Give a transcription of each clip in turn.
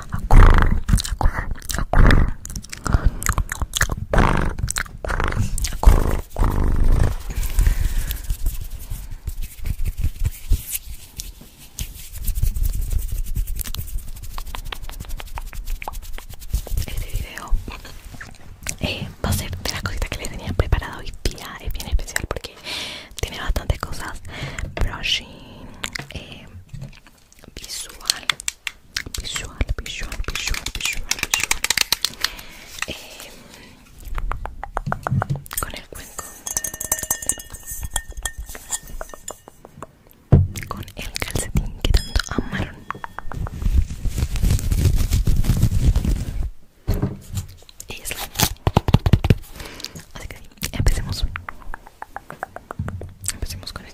Este video eh, va a ser de las cositas que les tenía preparado hoy día. Es bien especial porque tiene bastantes cosas. Brushing, eh, visual visual visual visual visual visual eh, con el cuenco con el calcetín que tanto amaron y es la... así que empecemos Empecemos con esto.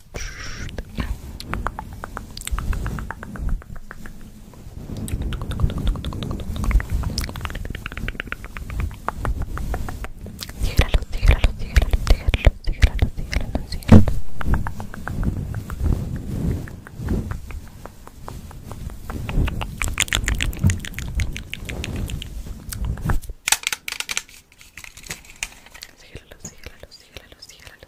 Sigue la luz, sigue la luz, sigue la tíralo, tíralo, tíralo, tíralo, tíralo, tíralo,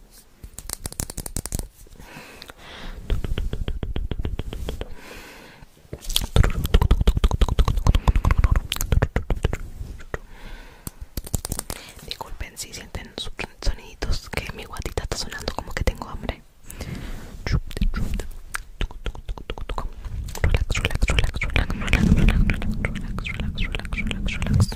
Disculpen si sienten soniditos que mi guatita está sonando como que tengo hambre. relax, relax, relax, relax, relax, relax, relax, relax, relax, relax, relax.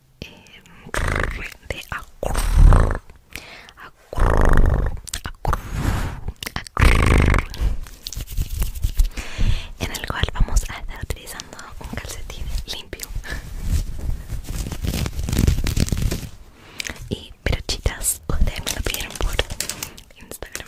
en el cual vamos a estar utilizando un calcetín limpio y peruchitas ustedes me lo pidieron por Instagram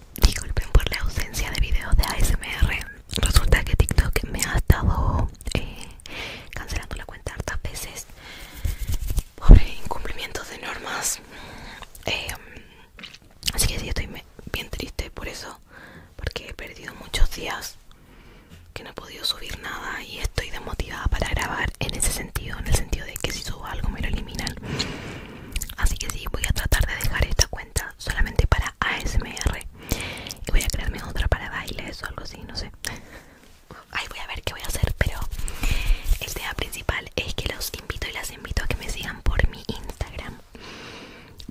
disculpen por la ausencia de videos de ASMR. Resulta que TikTok me ha estado eh, cancelando la cuenta hartas veces por incumplimientos de normas. Eh, así que sí, estoy bien triste por eso, porque he perdido muchos días que no he podido subir nada y estoy desmotivada para grabar en ese sentido, en el sentido de que si subo algo me lo eliminan. Así que sí, voy a tratar de dejar esta cuenta solamente para ASMR y voy a crearme otra para bailes o algo así, no sé. Ahí voy a ver qué voy a hacer, pero el tema principal es que los invito y las invito a que me sigan por mi Instagram,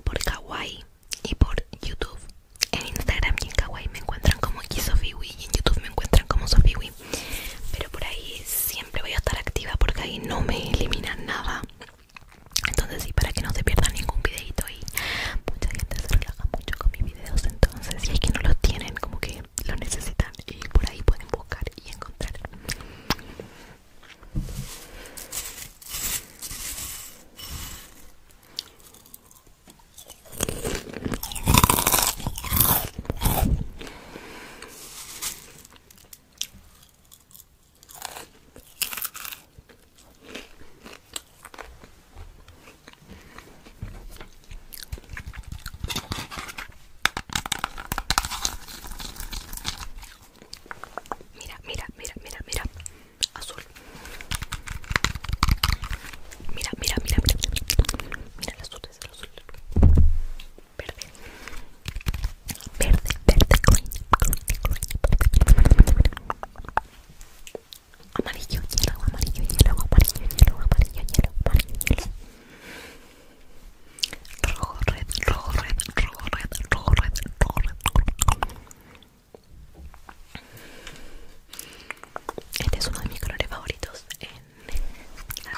por Kawaii y por YouTube. En Instagram y en Kawaii me encuentran como Kisofiwi y en YouTube me encuentran como Sofiwi. Pero por ahí siempre siempre voy a estar activa porque ahí no me eliminan nada entonces sí para que no se pierda ningún videito y mucha gente se relaja mucho con mis videos entonces si es que no los tienen como que lo necesitan y por ahí pueden buscar y encontrar Mira, mira, mira, mira, mira. Azul. Mira, mira, mira, mira. Mira, mira el azul, es el azul verde verde verde amarillo hielo amarillo hielo amarillo hielo amarillo hielo amarillo hielo rojo red rojo red rojo red rojo red rojo red este es uno de mis colores favoritos en las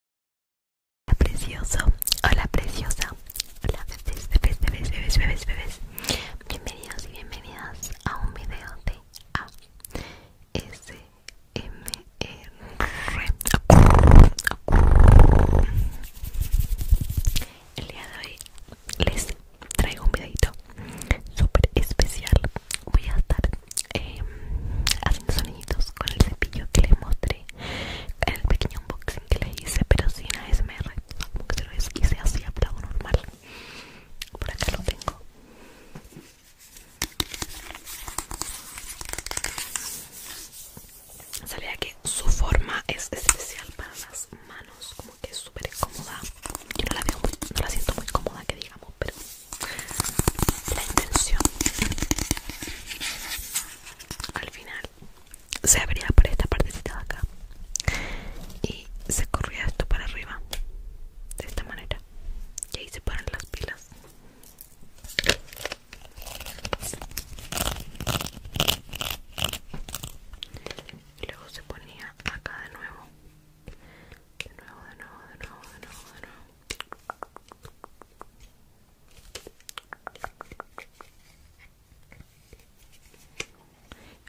Hola precioso, hola preciosa, hola bebés, bebés, bebés, bebés, bebés, Bienvenidos y bienvenidas a un video de ASMR El día de hoy les traigo un videito super especial Voy a estar eh, haciendo soniditos con el cepillo que les mostré el pequeño unboxing que le hice pero sin ASMR como que se lo hice así a plano normal por acá lo tengo sabía que su forma es especial para las manos como que es súper cómoda yo la veo no la siento muy cómoda que digamos pero la intención al final se abría por esta partecita de acá y se corría esto para arriba de esta manera y ahí se ponen las pilas y luego se ponía acá de nuevo de nuevo, de nuevo, de nuevo, de nuevo, de nuevo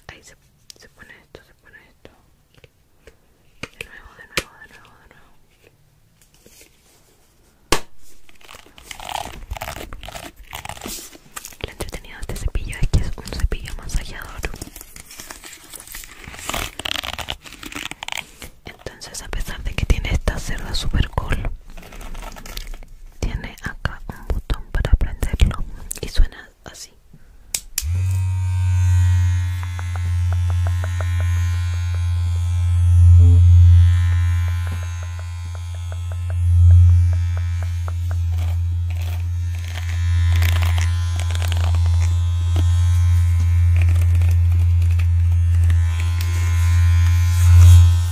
Ahí se, pone esto, se pone esto. De nuevo, de nuevo, de nuevo, de nuevo. Lo entretenido de este cepillo es que es un cepillo masajeador entonces a pesar de que tiene esta celda super cool tiene acá un botón para prenderlo y suena así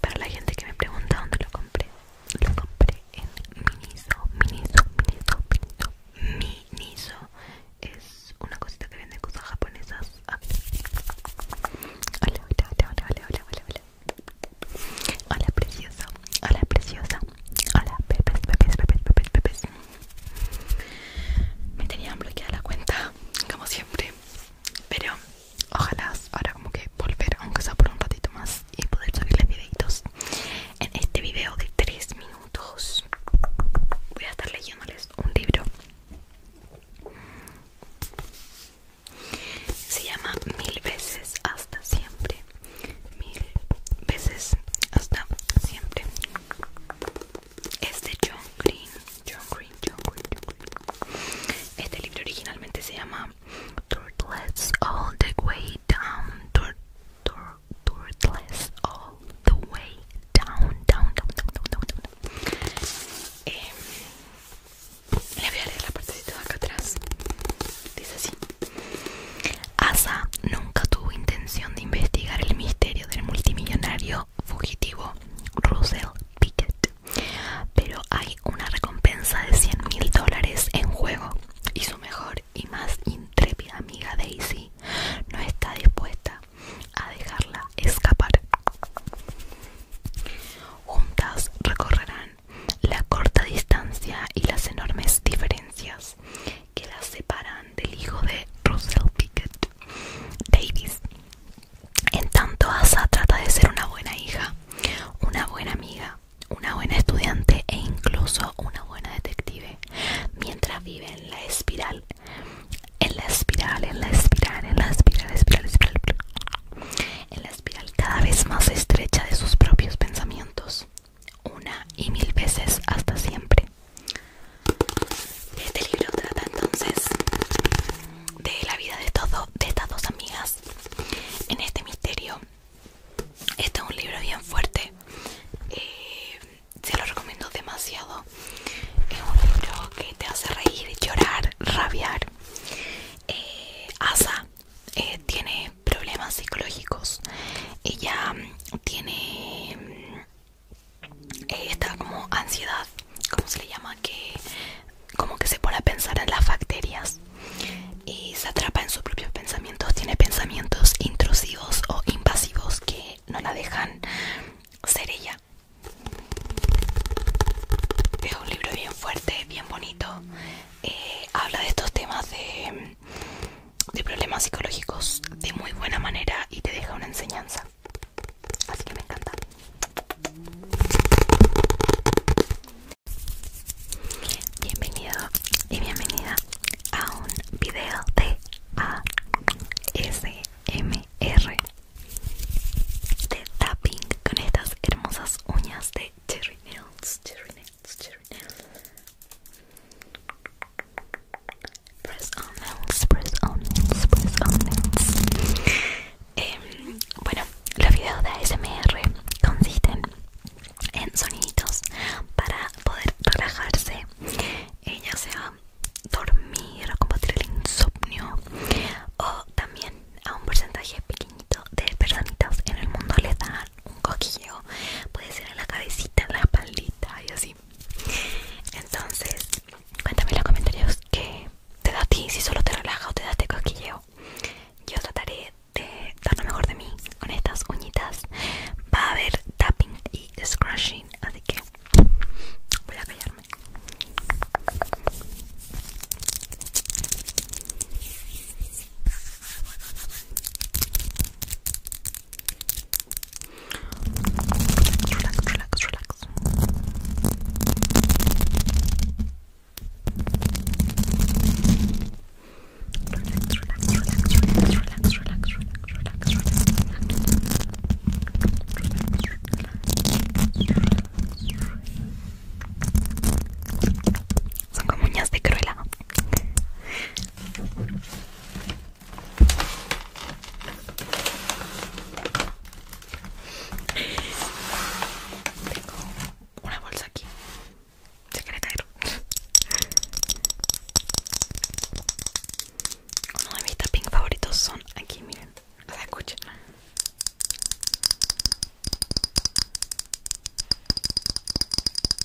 Para la gente que me pregunta dónde lo compré, lo compré en Miniso, Miniso, Miniso, Miniso. Miniso es una cosita que vende cosas japonesas. Ah. Hola, hola, hola, hola, hola, hola, preciosa, hola preciosa, hola bebés, bebés, bebés, bebés, me tenían bloqueada la cuenta como siempre pero ojalá ahora como que volver aunque sea por un ratito más y poder subirles videitos en este video de 3 minutos voy a estar leyéndoles un libro se llama Mil veces hasta siempre mil veces hasta siempre es de John Green John Green, John este libro originalmente se llama Turtles All The Way Down All The Way Down Down, down, down, eh, le voy a leer la de acá atrás dice así Asa nunca tuvo intención de investigar el misterio del multimillonario fugitivo Russell Pickett, pero hay una recompensa de 100 mil dólares en juego y su mejor y más intrépida amiga Daisy no está dispuesta a dejarla escapar. Juntas recorrerán la corta distancia y las enormes diferencias que las separan del hijo de Russell Pickett Davis. En tanto, Asa trata de ser una buena hija, una buena amiga, una buena estudiante e incluso una buena detective, mientras vive en la espiral, en la espiral, en la espiral, en la espiral, espiral, espiral, en la espiral cada vez más estrecha de sus propios pensamientos una y mil veces hasta siempre. Este libro trata entonces de la vida de, todo, estas dos amigas en este misterio. Este es un libro bien fuerte, eh, se lo recomiendo demasiado. Es un libro que te hace reír, llorar, rabiar. Eh, Asa eh, tiene problemas psicológicos ella mm, tiene mm, eh, esta como ansiedad, ¿cómo se le llama? Que como que se pone a pensar en las bacterias y se atrapa en sus propios pensamientos, tiene pensamientos intrusivos o invasivos que no la dejan ser ella. Es un libro bien fuerte, bien bonito. Eh, habla de estos temas de mm, de problemas psicológicos de muy buena manera y te deja una enseñanza. Así que me encanta. Bienvenido y bienvenida a un video de ASMR de tapping con estas hermosas uñas de Cherry Nails. Cherry Nails press on press on press on em, bueno, los videos de ASMR consisten en soniditos para poder relajarse eh, ya sea dormir o combatir el insomnio o también a un porcentaje pequeñito de personitas en el mundo les un coquillo puede ser en la cabecita, en la espaldita y así entonces cuéntame en los comentarios que te da a ti, si solo te relaja o te da este cosquilleo yo trataré de dar lo mejor de mí con estas uñitas va a haber tapping y scratching así que voy a callarme Relax, relax, relax. Relax, de cruela. Tengo una bolsa aquí. Se quiere caer. Uno de mis tapping favoritos son aquí, miren. escuchen.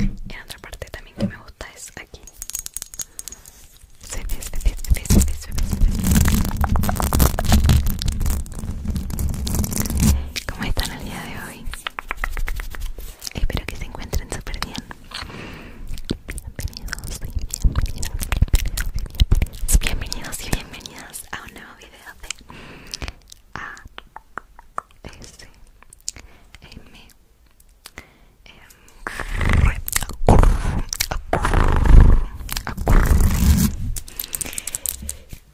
Y otra parte también que me gusta es aquí. ¿Cómo están el día de hoy? Espero que se encuentren súper bien. Bienvenidos y bienvenidos Bienvenidos y bienvenidas a un nuevo video de A S M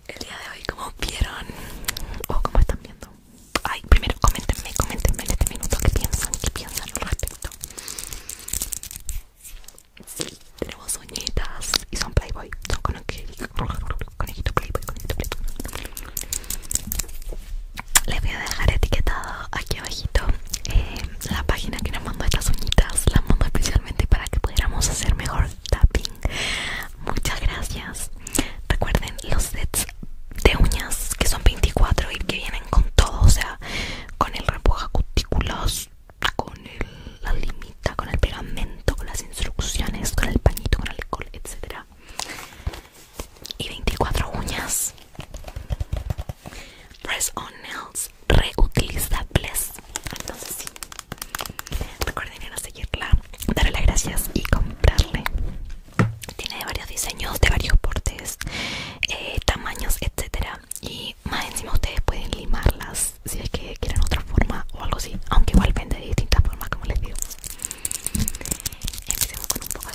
el día de hoy como vieron o como están viendo ay primero coméntenme coméntenme en este minuto que piensan qué piensan al respecto sí, tenemos uñitas y son playboy son conejito conejito playboy conejito playboy les voy a dejar etiquetado aquí abajito eh, la página que nos mandó estas uñitas las mandó especialmente para que pudiéramos hacer mejor tapping muchas gracias recuerden los sets de uñas que son 24 y que vienen con todo o sea con el repuja cutículos con la limita con el pegamento con las instrucciones con el pañito con alcohol etcétera y 24 uñas press on nails reutilizables entonces sí Recuerden ir a seguirla, darle las gracias y comprarle. Tiene varios diseños, de varios portes, eh, tamaños, etcétera. Y más encima ustedes pueden limarlas si es que quieren otra forma o algo así. Aunque igual vende de distintas formas, como les digo. Empecemos con un poco de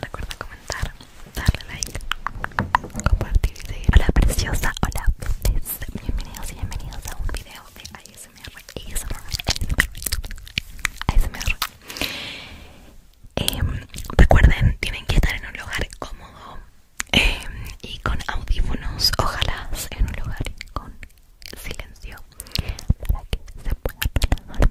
Recuerda comentar, darle like, compartir y seguir. Hola preciosa, hola Bienvenidos y bienvenidos a un video de ASMR. ASMR. ASMR. Em, recuerden, tienen que estar en un lugar cómodo em, y con audífonos. Ojalá en un lugar con silencio para que se pueda mejor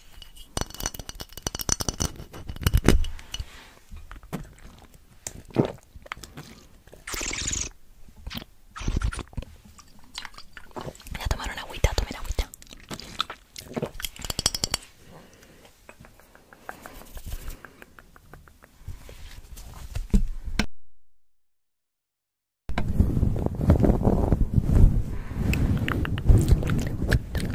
Voy a tomar una agüita, a tomar agüita.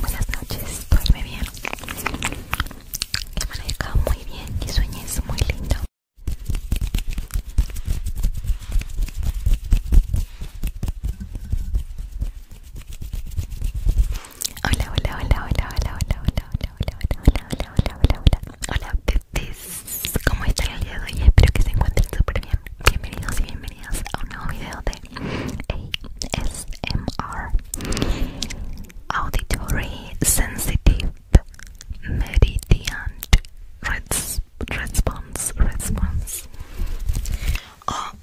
Buenas noches, duerme bien. ha amanezca muy bien y sueñes muy lindo. Hola, hola, hola, hola, hola, hola, hola, hola, hola, hola, hola, hola, hola, hola. Hola, hola ¿Cómo hola hola Espero que se encuentren hola Bienvenidos y bienvenidas a un nuevo video de ASMR Auditory Sensitive hola Response Response. hola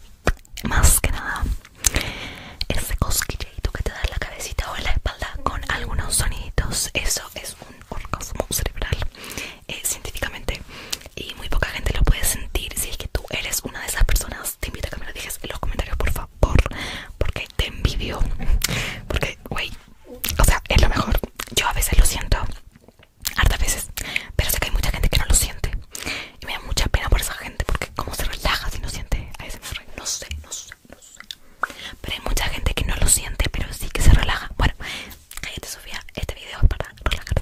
más que nada ese cosquilleito que te da en la cabecita o en la espalda con algunos soniditos, eso es un orgasmo cerebral eh, científicamente y muy poca gente lo puede sentir. Si es que tú eres una de esas personas, te invito a que me lo digas en los comentarios, por favor, porque te envidio. Porque, güey, o sea, es lo mejor. Yo a veces lo siento, hartas veces, pero sé que hay mucha gente que no lo siente. Y me da mucha pena por esa gente porque cómo se relaja si no siente a ese No sé, no sé, no sé. Pero hay mucha gente que no lo siente, pero sí que se relaja. Bueno, cállate Sofía, este video es para relajarte.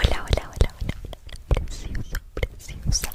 Hola, hola, hola, hola, hola, precioso, preciosa.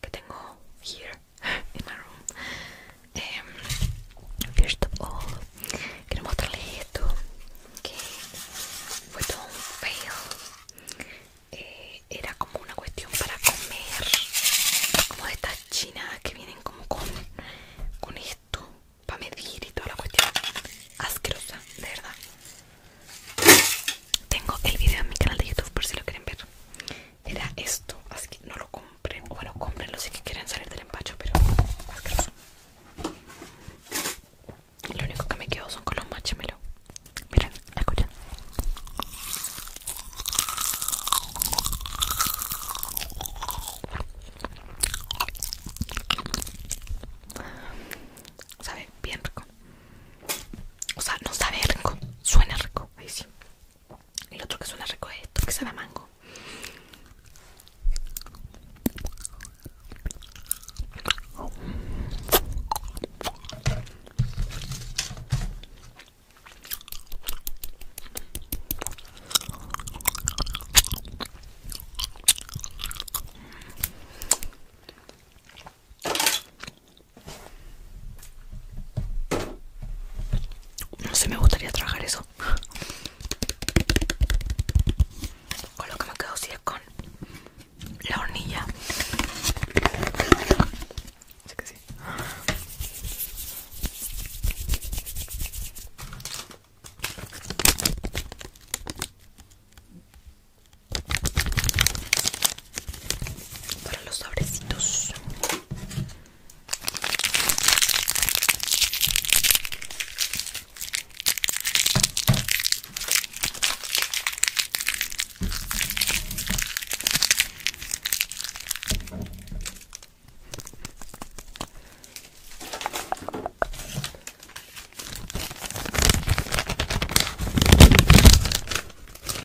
que tengo here in mi room. primero em, first of quiero mostrarles esto que fue todo un fail. Eh, era como una cuestión para comer, como de estas chinas que vienen como con, con esto para medir y toda la cuestión asquerosa, de verdad. Tengo el video en mi canal de YouTube por si lo quieren ver era esto, así que no lo compren, o bueno, comprenlo si que quieren salir del empacho, pero Lo único que me quedo son con los Miren, escuchen. Sabe bien rico. O sea, no sabe rico, suena rico. Ahí sí. El otro que suena rico que se a mango. No sé, me gustaría trabajar eso. Con lo que me quedo si es con la hornilla. que para los sobrecitos